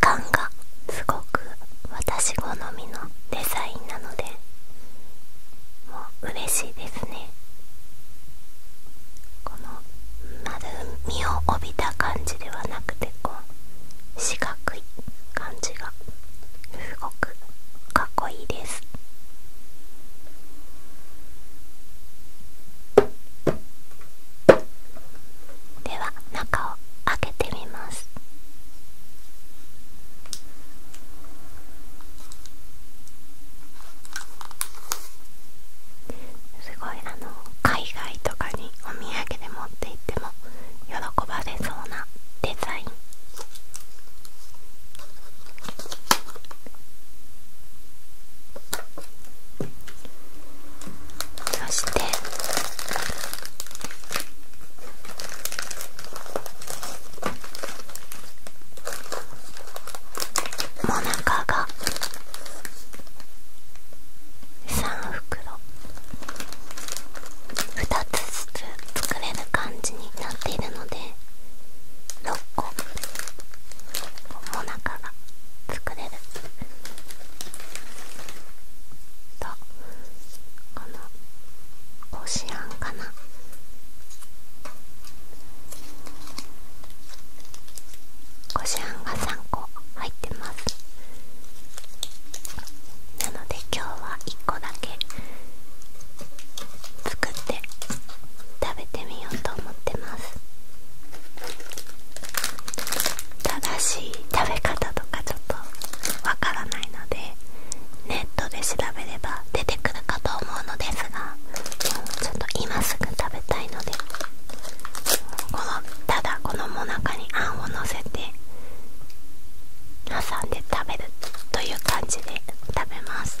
缶がすごく私好みのデザインなのでもう嬉しいですねこの丸みを帯びた感じではなくてこう四角い感じがすごくかっこいいですでは中を開けてみます。すごいあの海外とかにお土産で持って行っても喜ばれそうなデザインそしてもなかが3袋2つずつ作れる感じになっているので6個もなかが作れるとこのこしあんかなこしあんが3個入ってますなので今日は1個だけ作って食べてみようと思ってます正しい食べ方とかちょっとわからないのでネットで調べれば出てくるかと思うのですがちょっと今すぐ食べたいのでこのただこのもなかにあんをのせて挟んで食べるという感じで食べます。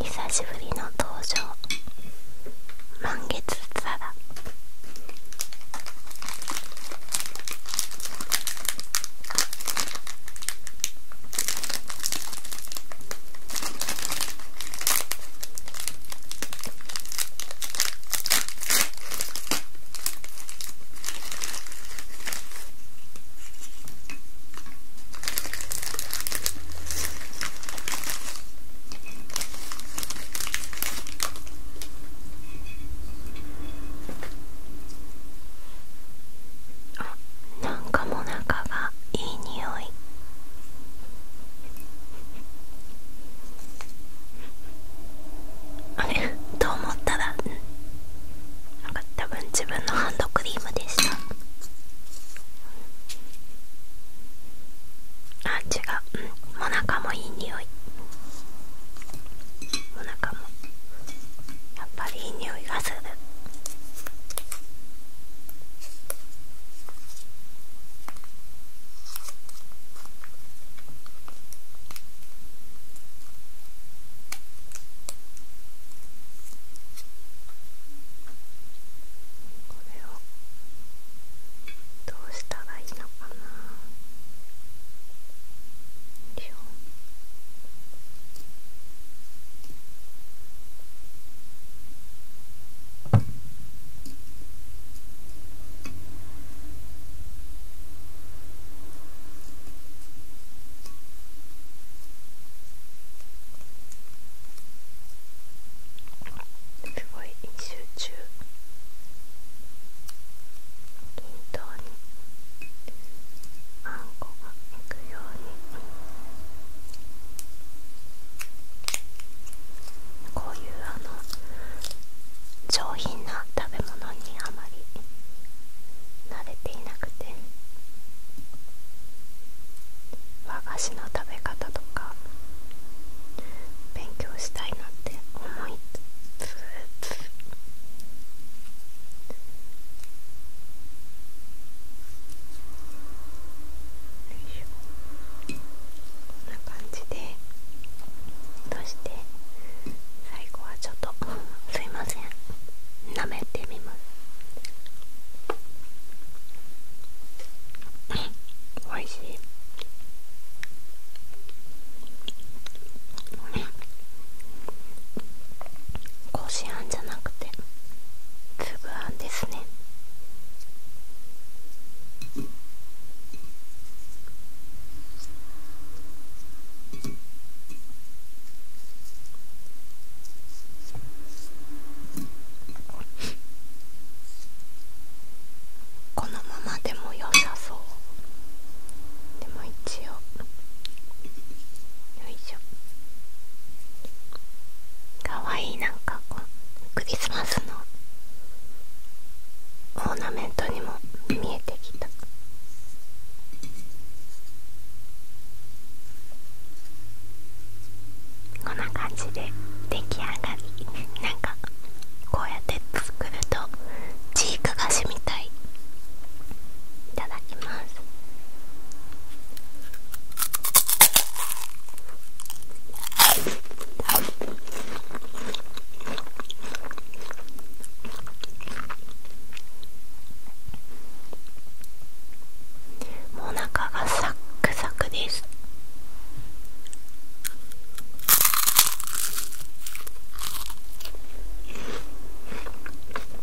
久しぶりの登場満月皿あなんかもなかがいい匂いあれと思ったらなんか多分自分のハンドクリームでしたあ違ううんおなかもいい匂いおなかもやっぱりいい匂いがするこれをどうしたらいいのかなですごい集中均等にあんこがいくようにこういうあの上品な食べ物にあまり慣れていなくて和菓子の食べ方とか勉強したいなって思いつつこんな感じでそして最後はちょっとすいません舐めてみますおいしいこしあんじゃなくてつぶあんですねこのままでも良さそうでも一応よいしょかわいいなんかクリスマスのオーナメントにも見えてきたこんな感じで出来上がりなんかこうやって作るとチーク菓子みたいいただきますもう中がサックサクです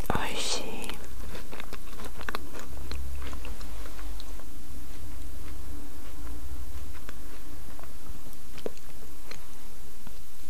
おいしい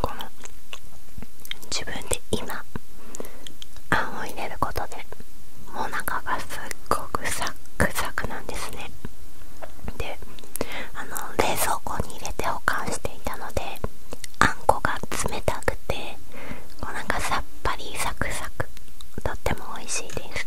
この自分で今あんを入れることでもう中がすっごくサックサクなんですねであの冷蔵庫に入れて保管していたのであんこが冷たくておうなかさっぱりサクサクとっても美味しいです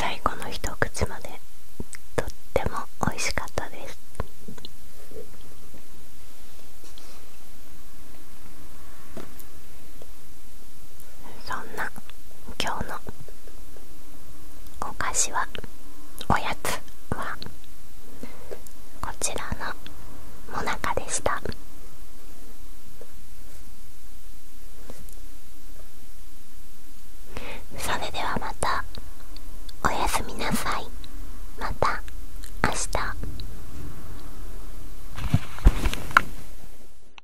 最後の一口までとっても美味しかったですそんな今日のお菓子はおやつはこちらのもなかでしたそれではまたおやすみなさいまた明日